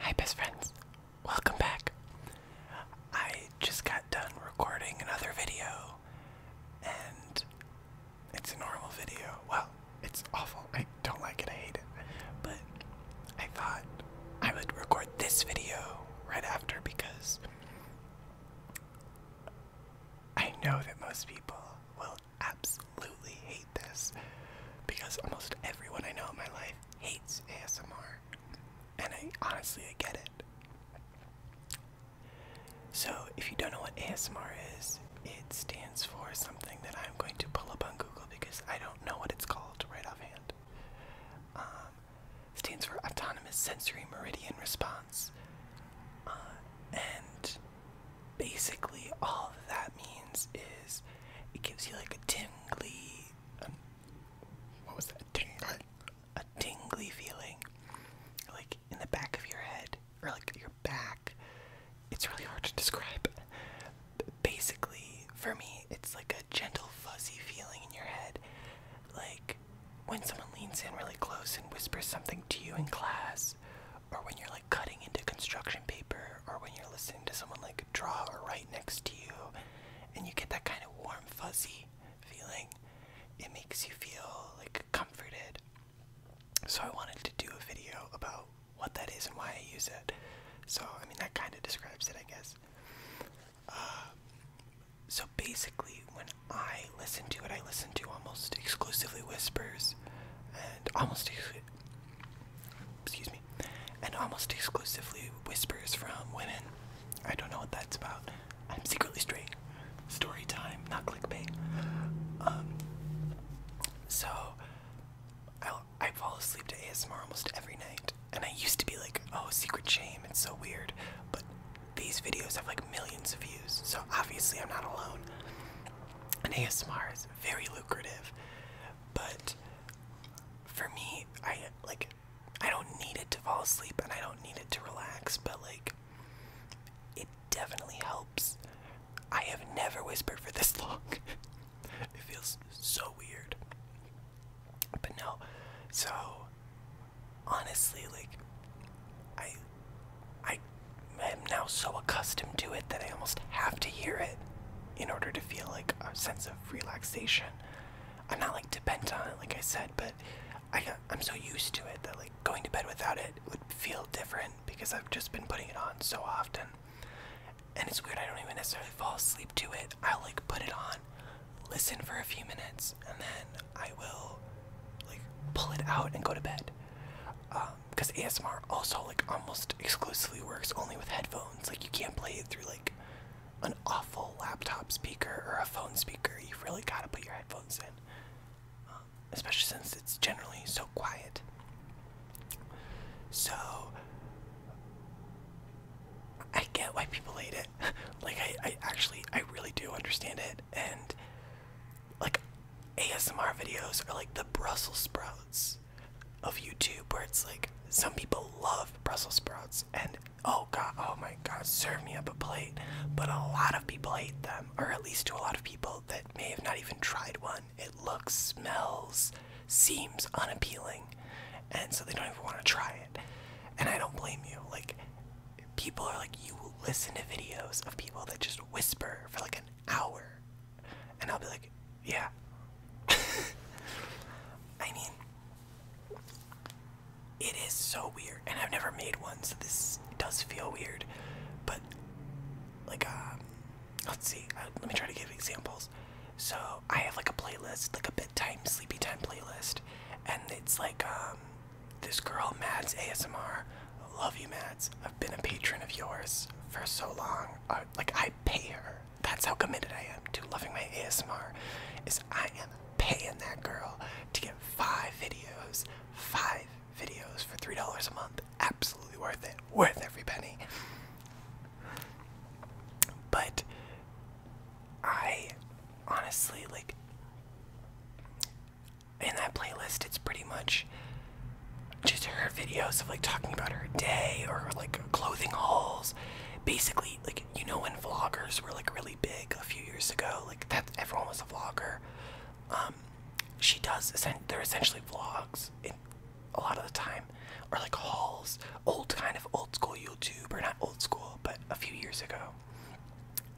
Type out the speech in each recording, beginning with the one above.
Hi, best friends. Welcome back. I just got done recording another video and it's a normal video. Well, it's awful. I don't like it. I hate it. But I thought I would record this video right after because I know that most people will absolutely hate this because almost everyone I know in my life hates ASMR. And I honestly I get it. So, if you don't know what ASMR is, it stands for something that I'm going to pull up on Google because I don't know what it's called right offhand. Um, stands for Autonomous Sensory Meridian Response. Uh, and basically, all that means is it gives you like a tingly. Um, what was that? Tingly a tingly feeling, like in the back of your head or like your back. It's really hard to describe. Basically, for me, it's like a gentle fuzzy feeling in your head, like when someone leans in really close and whispers something to you in class, or when you're like cutting into construction paper, or when you're listening to someone like draw right next to you, and you get that kind of warm fuzzy feeling. It makes you feel like comforted. So I wanted to do a video about what that is and why I use it. So I mean that kind of describes it, I guess. Um, so basically, when I listen to it, I listen to almost exclusively whispers, and almost excuse me, and almost exclusively whispers from women. I don't know what that's about. I'm secretly straight. Story time, not clickbait. Um, so, I, I fall asleep to ASMR almost every night. And I used to be like, oh, secret shame, it's so weird. But these videos have like millions of views, so obviously I'm not alone. And ASMR is very lucrative. But for me, I like I don't need it to fall asleep and I don't need it to relax, but like it definitely helps. I have never whispered for this long. it feels so weird. But no. So honestly, like I I am now so accustomed to it that I almost have to hear it in order to feel like a sense of relaxation. I'm not like dependent on it, like I said, but I am so used to it that like going to bed without it would feel different because I've just been putting it on so often. And it's weird, I don't even necessarily fall asleep to it. i like put it on, listen for a few minutes, and then I will like pull it out and go to bed. Um, Because ASMR also like almost exclusively works only with headphones. Like you can't play it through like an awful laptop speaker or a phone speaker, you've really got to put your headphones in, um, especially since it's generally so quiet. So, I get why people hate it. like, I, I actually, I really do understand it. And, like, ASMR videos are like the Brussels sprouts of YouTube where it's like some people love Brussels sprouts and oh god, oh my god, serve me up a plate. But a lot of people hate them, or at least to a lot of people that may have not even tried one. It looks, smells, seems unappealing, and so they don't even want to try it. And I don't blame you. Like, people are like, you listen to videos of people that just whisper for like an hour and I'll be like, yeah. I mean, it is so weird, and I've never made one, so this does feel weird. But, like, um, let's see, uh, let me try to give examples. So, I have like a playlist, like a bedtime, sleepy time playlist, and it's like, um, this girl, Mads ASMR. Love you, Mads. I've been a patron of yours for so long. Uh, like, I pay her. That's how committed I am to loving my ASMR. Is I am paying that girl to get five videos, five videos for three dollars a month. Absolutely worth it. Worth every penny. But I honestly like in that playlist it's pretty much just her videos of like talking about her day or like clothing hauls. Basically, like you know when vloggers were like really big a few years ago, like that everyone was a vlogger. Um, she does. They're essentially vlogs in, a lot of the time, or like hauls, old kind of old school YouTube, or not old school, but a few years ago.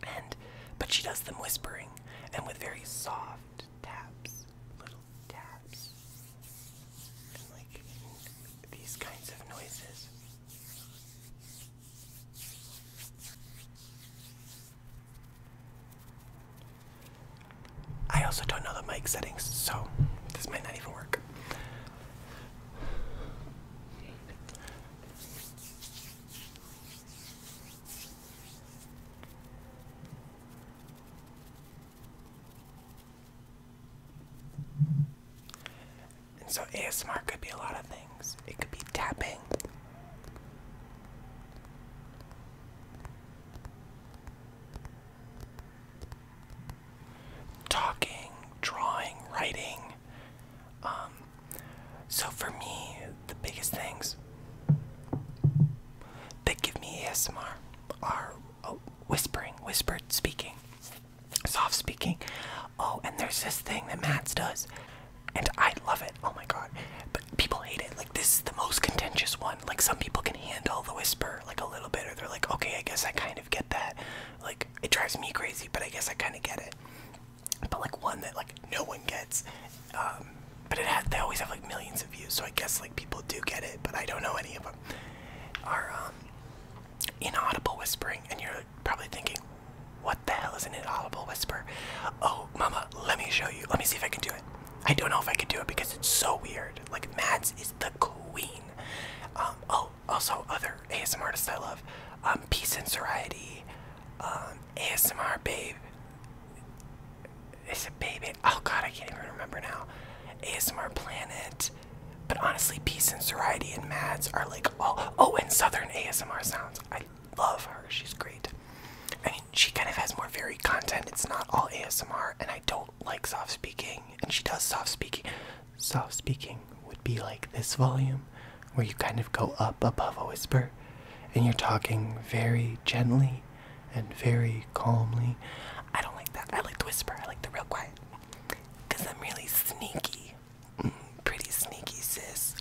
And but she does them whispering and with very soft taps, little taps and like these kinds of noises. I also don't know the mic settings, so this might not even work so ASMR could be a lot of things. It could be tapping. Talking, drawing, writing. Um, so for me, the biggest things that give me ASMR are oh, whispering, whispered speaking, soft speaking. Oh, and there's this thing that Matt's does, and I love it. Oh my god. But people hate it. Like, this is the most contentious one. Like, some people can handle the whisper, like, a little bit, or they're like, okay, I guess I kind of get that. Like, it drives me crazy, but I guess I kind of get it but like one that like no one gets. Um, but it had they always have like millions of views, so I guess like people do get it, but I don't know any of them. Are um, inaudible whispering, and you're probably thinking, "What the hell is an inaudible whisper?" Oh, mama, let me show you. Let me see if I can do it. I don't know if I can do it because it's so weird. Like Mads is the queen. Um, oh, also other ASMR artists I love, um, Peace and Soriety, ASMR babe. Is it baby? Oh god, I can't even remember now. ASMR Planet. But honestly, Peace and Soriety and Mads are like oh Oh, and Southern ASMR Sounds. I love her. She's great. I mean, she kind of has more varied content. It's not all ASMR, and I don't like soft speaking. And she does soft speaking. Soft speaking would be like this volume where you kind of go up above a whisper and you're talking very gently and very calmly. I don't like that. I like the whisper. I like the real quiet. Because I'm really sneaky. Mm, pretty sneaky, sis.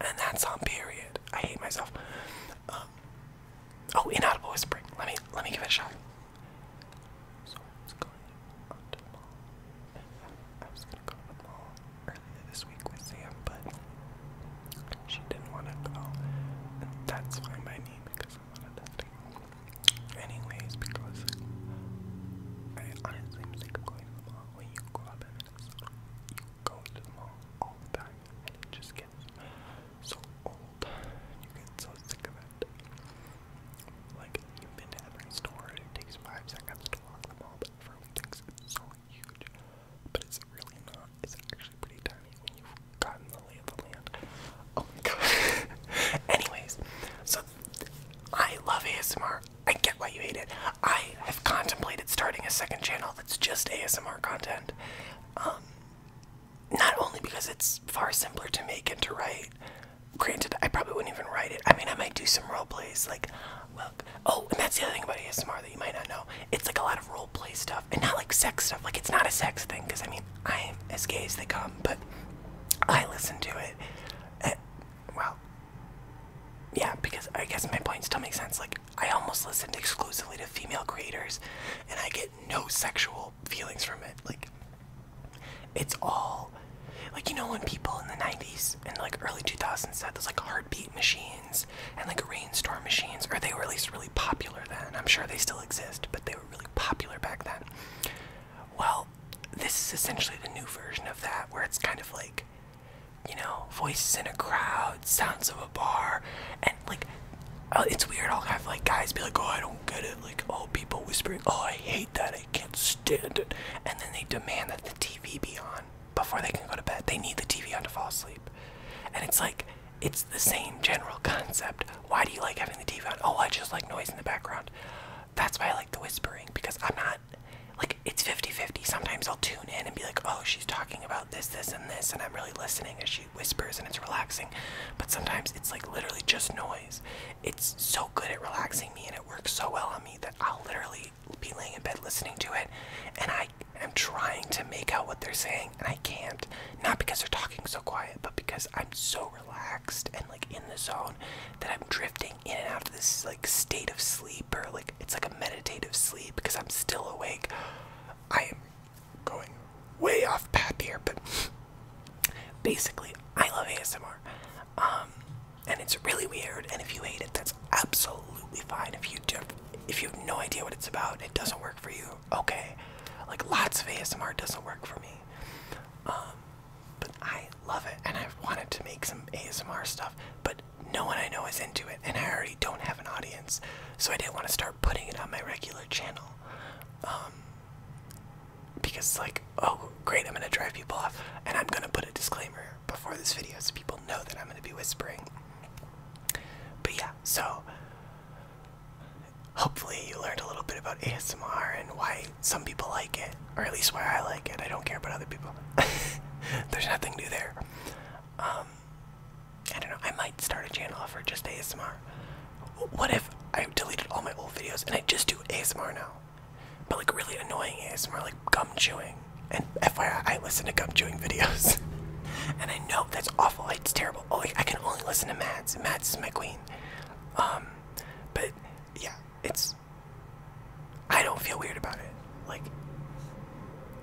And that's on period. I hate myself. Um, oh, inaudible whispering. Let me let me give it a shot. So going on I was gonna go to the mall earlier this week with Sam, but she didn't want to go. And that's fine by me because I wanted to stay. Anyways, because I honestly am sick of going to the mall. When you grow up in Minnesota, you go to the mall all the time, and it just gets so old. You get so sick of it. Like, you've been to every store, and it takes five seconds to walk the mall, room thinks so huge, but it's really not. It's actually pretty tiny when you've gotten the lay of the land. Oh my god. Anyways, so I love ASMR. I get why you hate it. I have contemplated starting a second channel that's just ASMR content. Um, not only because it's far simpler to make and to write, Granted, I probably wouldn't even write it. I mean, I might do some role plays, like, well, oh, and that's the other thing about ASMR that you might not know. It's like a lot of role play stuff, and not like sex stuff. Like, it's not a sex thing, because I mean, I am as gay as they come, but I listen to it. Eh, well, yeah, because I guess my point still makes sense. Like, I almost listen exclusively to female creators, and I get no sexual feelings from it. Like, it's all like you know when people in the 90s and like early 2000s had those like heartbeat machines and like rainstorm machines, or they were at least really popular then. I'm sure they still exist, but they were really popular back then. Well, this is essentially the new version of that, where it's kind of like, you know, voices in a crowd, sounds of a bar, and like, uh, it's weird. I'll have like guys be like, oh, I don't get it. Like, all oh, people whispering. Oh, I hate that they can't stand it. And then they demand that the TV be on before they can go to bed. They need the TV on to fall asleep. And it's like, it's the same general concept. Why do you like having the TV on? Oh, I just like noise in the background. That's why I like the whispering because I'm not, like, it's 50 50. Sometimes I'll tune in and be like, oh, she's talking about this, this, and this, and I'm really listening as she whispers and it's relaxing. But sometimes it's like literally just noise it's so good at relaxing me and it works so well on me that I'll literally be laying in bed listening to it and I am trying to make out what they're saying and I can't. Not because they're talking so quiet, but because I'm so relaxed and like in the zone that I'm drifting in and out of this like state of sleep or like it's like a meditative sleep because I'm still awake. I am going way off path here, but Basically, I love ASMR. Um, and it's really weird, and if you hate it, that's absolutely fine. If you if you have no idea what it's about, it doesn't work for you. Okay, like lots of ASMR doesn't work for me. Um, but I love it, and I've wanted to make some ASMR stuff, but no one I know is into it, and I already don't have an audience, so I didn't want to start putting it on my regular channel. Um, because like oh great i'm going to drive people off and i'm going to put a disclaimer before this video so people know that i'm going to be whispering but yeah so hopefully you learned a little bit about asmr and why some people like it or at least why i like it i don't care about other people there's nothing new there um, i don't know i might start a channel for just asmr what if I deleted all my old videos and I just do ASMR now? But like really annoying ASMR, like gum chewing. And FYI, I listen to gum chewing videos. and I know that's awful, it's terrible. Oh, I can only listen to Mads. Mads is my queen. Um, but yeah, it's. I don't feel weird about it. Like,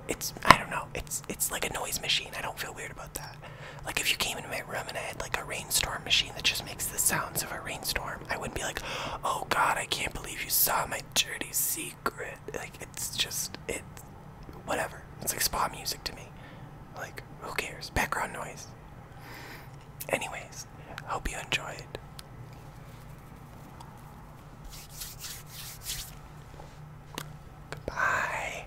it's. I don't know. It's. It's like a noise machine. I don't feel weird about that. Like if you came into my room and I had like a rainstorm machine that just makes the sounds of a rainstorm, I wouldn't be like, "Oh God, I can't believe you saw my dirty secret." Like it's just it, whatever. It's like spa music to me. Like who cares? Background noise. Anyways, hope you enjoyed. Goodbye.